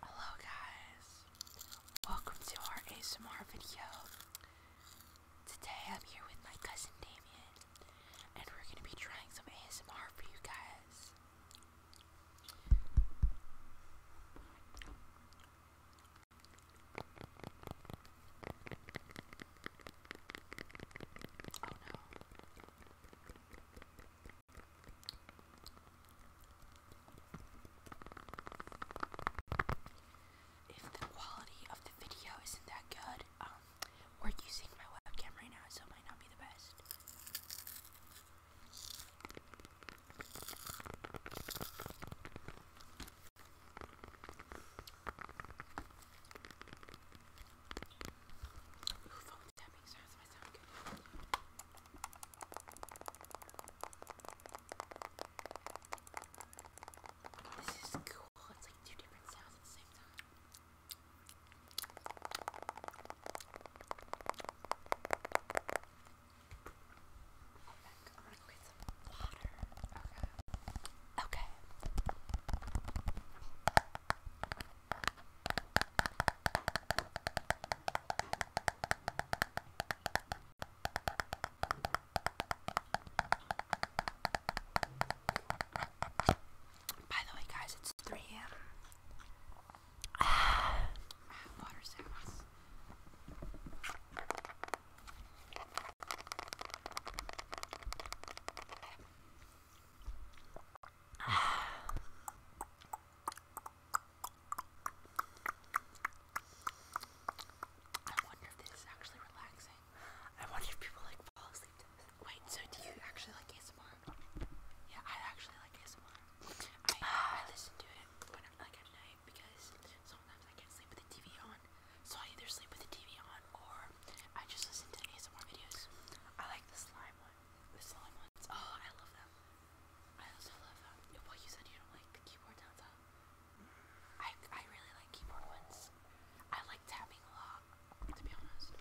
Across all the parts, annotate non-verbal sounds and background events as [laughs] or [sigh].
Hello guys, welcome to our ASMR video. Today I'm here with my cousin Damien, and we're gonna be trying some ASMR for you guys. Oh no. If the quality of the video isn't that good, um, we're using my webcam right now, so it might not be the best tapping sounds might sound good. Oh, this is cool. It's like two different sounds at the same time. I'm gonna go get some water. Okay. Okay. By the way, guys, it's 3 a.m. I have water sounds. I wonder if this is actually relaxing. I wonder if people like fall asleep to Wait, so do you actually like ASMR? Yeah, I actually like ASMR. I, I listen to it when I'm like at night because sometimes I can't sleep with the TV on. So I either sleep with the TV on or I just listen to ASMR videos. I like the slime one. The slime ones. Oh, I love them. I also love um, well you said you don't like the keyboard sounds I I really like keyboard ones. I like tapping a lot, to be honest.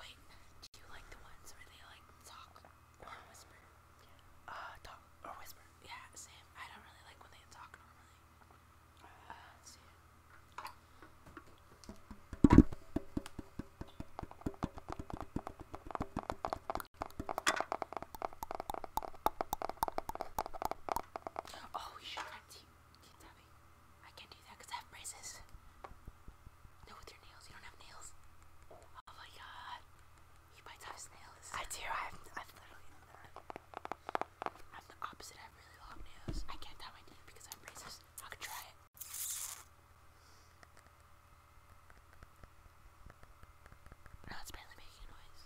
Wait, do you like the ones where they like talk or whisper? Uh talk or whisper. Yeah, same. I don't really like when they talk normally. Uh, let Oh, you should have teeth, teeth tapping. I can't do that because I have braces. No, with your nails. You don't have nails. Oh my god. He bites off his I do. I have, i literally done that. I'm the opposite. I have really long nails. I can't tie my teeth because I have braces. I could try it. Now it's barely making noise.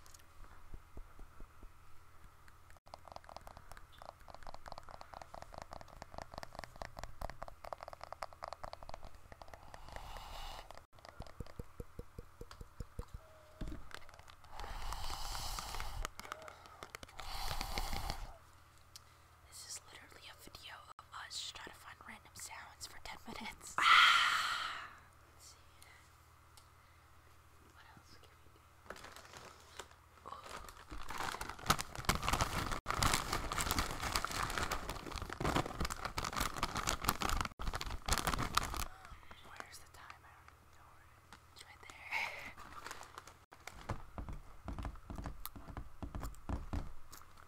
This is literally a video of us just trying to find random sounds for 10 minutes. Ah. Let's see. What else can we do? Um, where's the time? It's right there.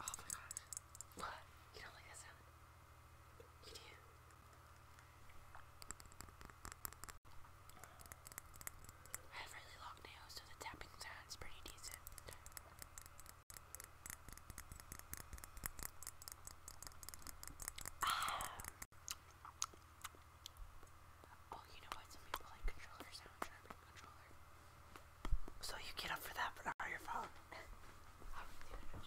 Oh my gosh. What? You don't like that sound? You do. I have really long nails, so the tapping sound is pretty decent. Um, oh, you know what? Some people like controller sound sharpening controller. So you get up for that, but on your phone. I would do it.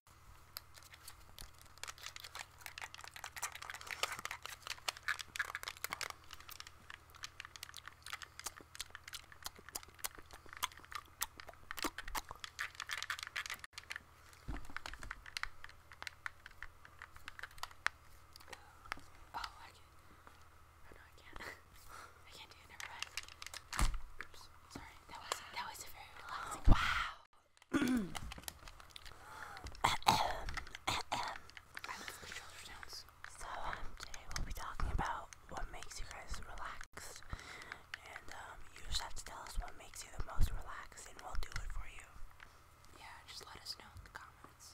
Oh, I can. Oh no, I can't. [laughs] I can't do it. Never mind. Oops. Sorry. That was that was a very relaxing. Wow so today we'll be talking about what makes you guys relaxed, and um, you just have to tell us what makes you the most relaxed, and we'll do it for you. Yeah, just let us know in the comments.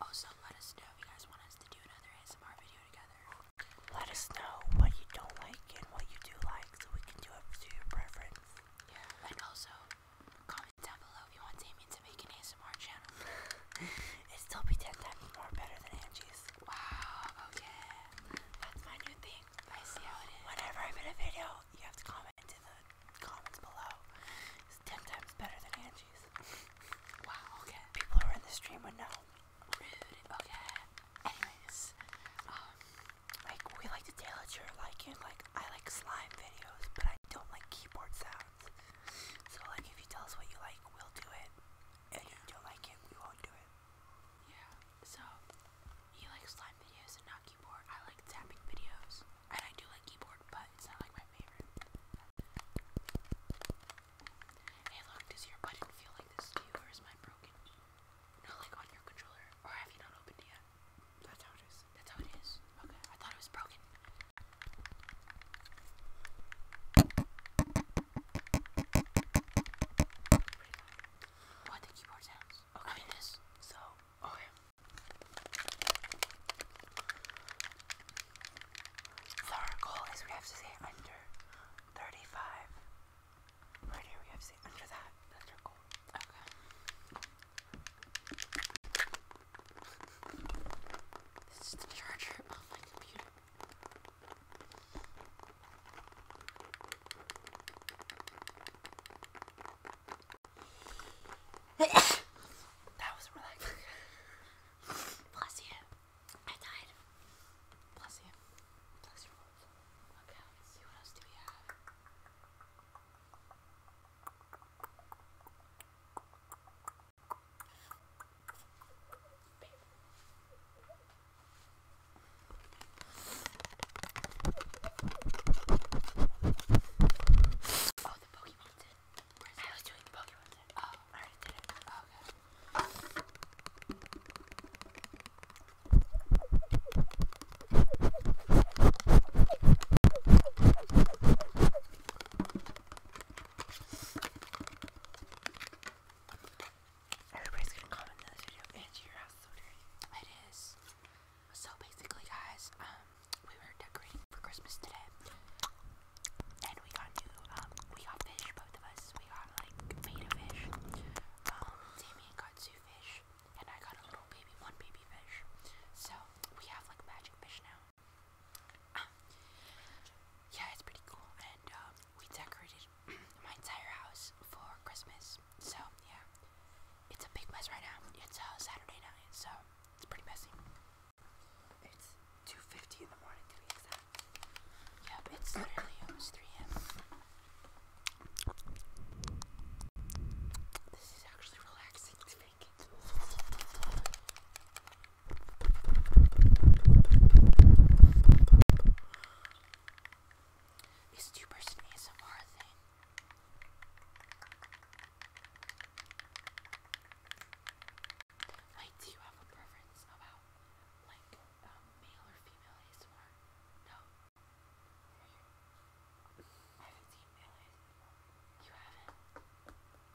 Also, let us know if you guys want us to do another ASMR video together. Let us know what you don't like and what you do like so we can do it to your preference. Yeah, and also comment down below if you want Damien to make an ASMR channel. it 10 times more better than Angie's. Wow, oh That's my new thing. I see how it is. Whenever I made a video, you have to comment in the comments below. It's 10 times better than Angie's. [laughs] wow, okay. People who are in the stream would know. Rude, okay. Anyways, um, like we like to tailor to your liking. Like I like slime videos, but I don't like keyboard sounds. So like if you tell us what you like, we'll do it. And if you don't like it, we won't do it. Yeah. So you like slime videos and not keyboard. I like tapping videos, and I do like keyboard, but it's not like my favorite. Hey, look, does your button feel like this to or is mine broken? No, like on your controller. Or have you not opened yet? That's how it is. That's how it is. Okay. I thought it was broken. What the keyboard sounds? Okay. this. So. Okay. our goal is we have to say under 35 Right here we have see under that the circle. Okay. This the charger of my computer. that was relaxing. [laughs] Bless you. I died. Bless you. Okay, let's see what else do we have. Babe. Oh, the Pokemon did. I was doing the Pokemon did. Oh, I already did it. Oh, okay. Everybody's gonna comment in this video. Angie, your house is so dirty. It is. So basically, guys, um, we were decorating for Christmas today, and we got new. Um, we got fish, both of us. We got like beta fish. Um, Damien got two and I got a little baby, one baby fish. So we have like magic fish now. Ah. yeah, it's pretty cool, and um, we decorated [clears throat] my entire house for Christmas. So yeah, it's a big mess right now. It's uh, Saturday night, so it's pretty messy. It's 2:50 in the morning Yep, it's literally almost 3 this is actually relaxing to make it. This two person ASMR thing. Like, do you have a preference about, like, um, male or female ASMR? I haven't seen Mayonnaise. You haven't?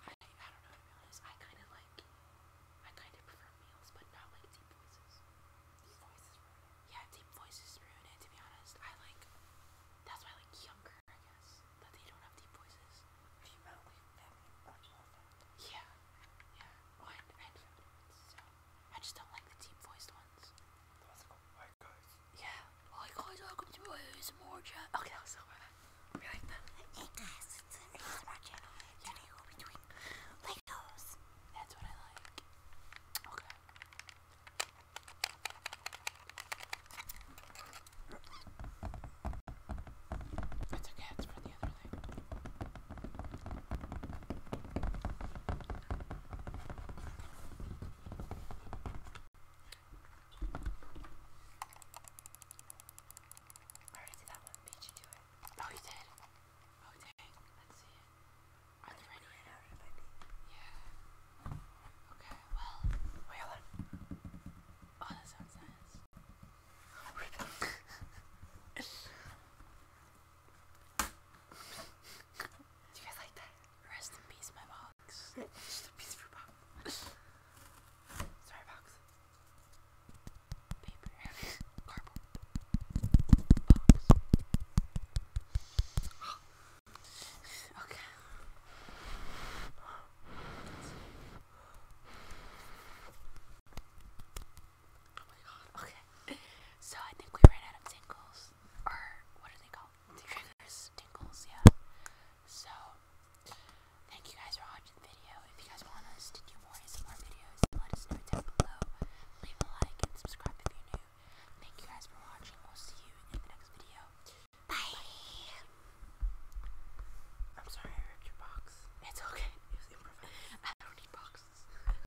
I, I don't know to be honest. I kind of like, I kind of prefer meals, but not like deep voices. Deep voices ruin it. Yeah, deep voices ruin it to be honest. I like, that's why I like younger, I guess, that they don't have deep voices. Do Yeah, yeah. Well, I just don't like the deep voiced ones. That's cool. guys. Yeah. Hi guys, welcome to my more chat. Okay, that was so bad. We that. Hey guys, it's an ASMR channel. Today we'll be That's what I like. Okay. It's okay, it's for the other thing. I already did that one. Did you do it? Oh, you did? Oh, dang. Let's see. Are there any? Right out of yeah. Okay, well. Wait, hold on. Oh, that sounds nice. [laughs] [laughs] Do you guys like that? Rest in peace, my box. Rest in peace, for box. Sorry, box. Paper. [laughs] Cardboard. Box. [gasps] okay. Oh my god, okay. So I think we ran out of tingles. Or what are they called? Triggers, tingles, yeah. So thank you guys for watching the video. If you guys want us to do more ASMR videos, let us know down below. Leave a like and subscribe if you're new. Thank you guys for watching. We'll see you in the next video. Bye. I'm sorry I ripped your box. It's okay. [laughs] I don't need boxes.